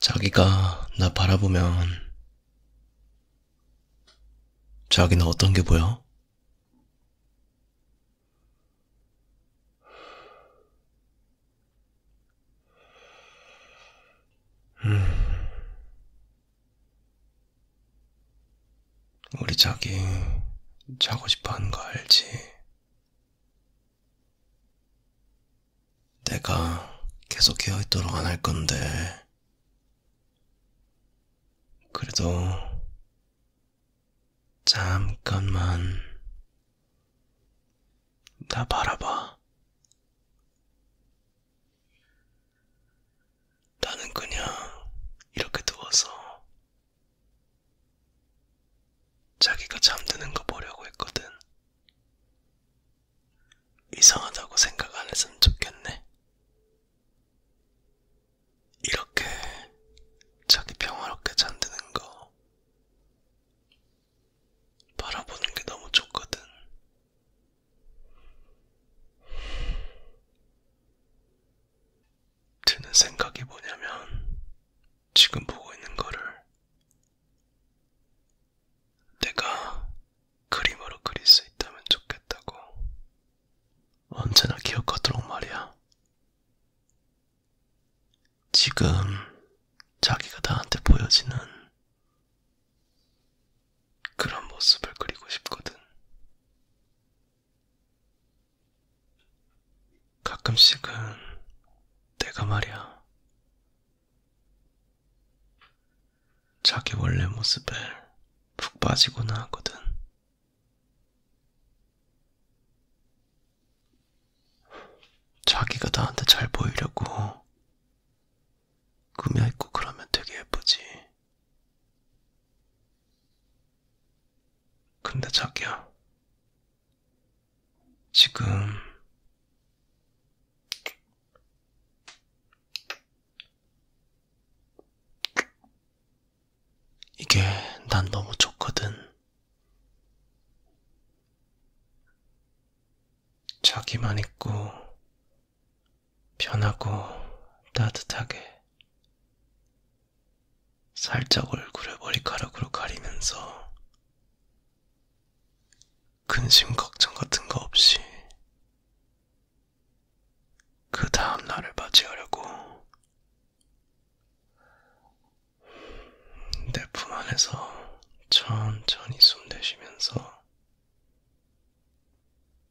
자기가 나 바라보면 자기는 어떤 게 보여? 음. 우리 자기 자고 싶어 하는 거 알지? 내가 계속 깨어있도록 안 할 건데, 그래도 잠깐만 나 바라봐. 나는 그냥 이렇게 누워서 자기가 잠드는 거 보려고 했거든. 이상하다고 생각 안 했으면 좋겠네. 이렇게 자기 평화롭게 잠드는 거 바라보는 게 너무 좋거든. 드는 생각이 뭐냐면, 지금 보고 있는 거를 내가 그림으로 그릴 수 있다면 좋겠다고. 언제나 기억하도록 말이야. 지금 자기가 나한테 보여지는 그런 모습을 그리고 싶거든. 가끔씩은 내가 말이야. 자기 원래 모습에 푹 빠지거나 하거든. 자기가 나한테 잘 보이려고 꾸며입고 그러면 되게 예쁘지. 근데 자기야, 지금 이게 난 너무 좋거든. 자기만 있고 편하고 따뜻하게 살짝 얼굴을 머리카락으로 가리면서 근심 걱정 같은 거 없이 그 다음 날을 맞이하려고 내 품 안에서 천천히 숨 내쉬면서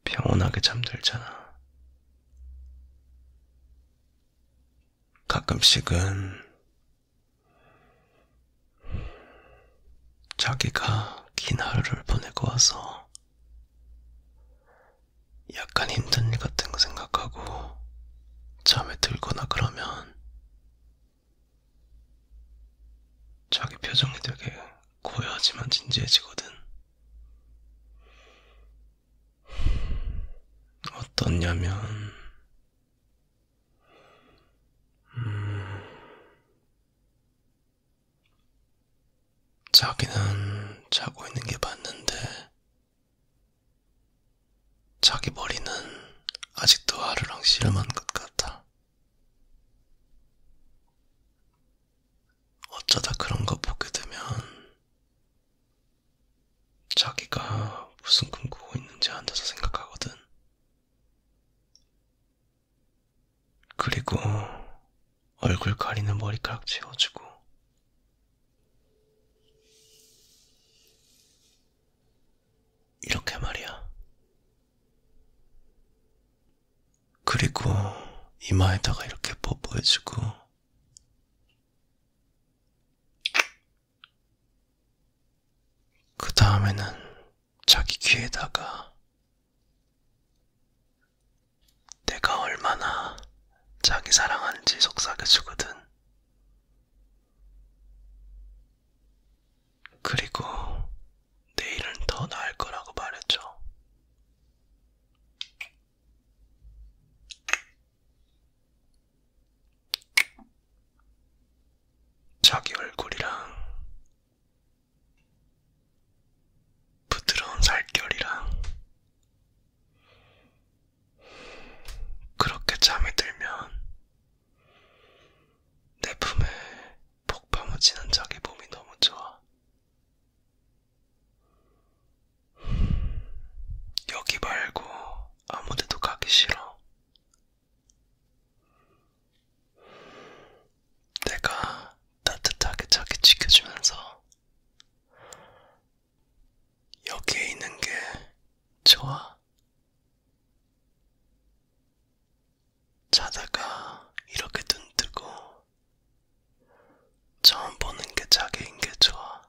평온하게 잠들잖아. 가끔씩은 자기가 긴 하루를 보내고 와서 약간 힘든 일 같은 거 생각하고 잠에 들거나 그러면 자기 표정이 되게 고요하지만 진지해지거든. 어떻냐면, 음, 자기는 자고 있는 게 맞는데, 자기 머리는 아직도 하루랑 씨름한 것 같아. 어쩌다 그런 거 보게 되면 자기가 무슨 꿈 꾸고 있는지 앉아서 생각하거든. 그리고 얼굴 가리는 머리카락 지워주고 이렇게 말이야. 그리고 이마에다가 이렇게 뽀뽀해주고, 그 다음에는 자기 귀에다가 내가 얼마나 자기 사랑하는지 속삭여주거든. 그리고 내일은 더 나을 거라고 말했죠. 자기 얼굴이랑 부드러운 살결이랑 그렇게 잠이 들면 내 품에 폭 파묻히는 자기 몸이 너무 좋아. 여기 말고 아무데도 가기 싫어. 내가 따뜻하게 자기 지켜주면서 여기에 있는 게 좋아. 자다가 이렇게 눈 뜨고 처음 보는 게 자기인 게 좋아.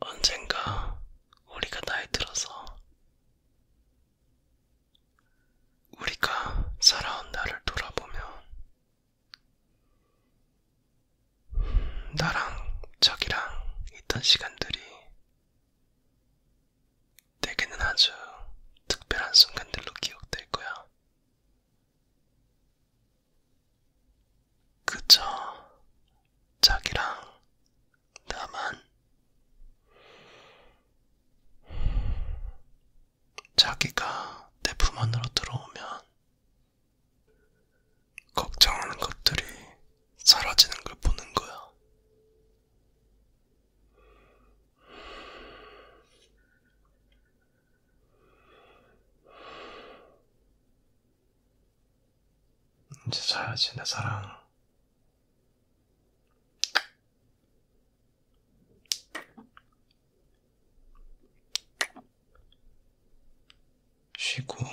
언젠가 우리가 나이 들어서 우리가 살아온 나를 돌아보면 나랑 자기랑 있던 시간들이 내게는 아주 특별한 순간들로 기억될 거야. 그저 자기랑 나만 자기가 내품 안으로 들어오면 걱정하는 것들이 사라지는 걸 보는 거야. 이제 자야지, 내 사랑. 쉬고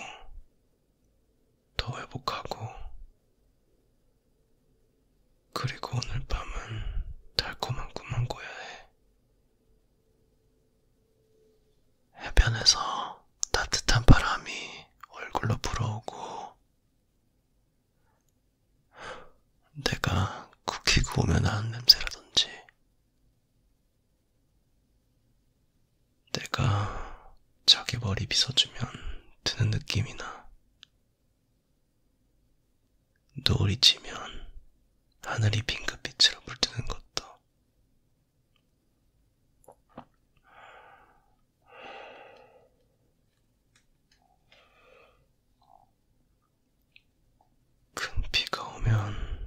더 회복하고 그리고 오늘 밤은 달콤한 꿈만 꿔야 해. 해변에서 따뜻한 바람이 얼굴로 불어오고 내가 쿠키 구우면 하는 냄새라든지 내가 자기 머리 빗어주면 드는 느낌이나 노을이 지면 하늘이 핑크빛으로 물드는 것도 큰 비가 오면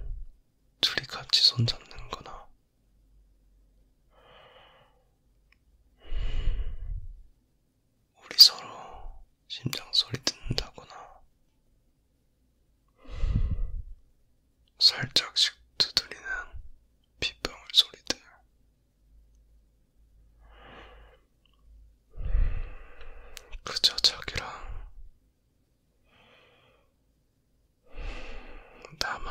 둘이 같이 손잡는 거나 우리 서로 심장 소리 듣는다거나 살짝씩 두드리는 빗방울 소리들 그저 자기랑 나만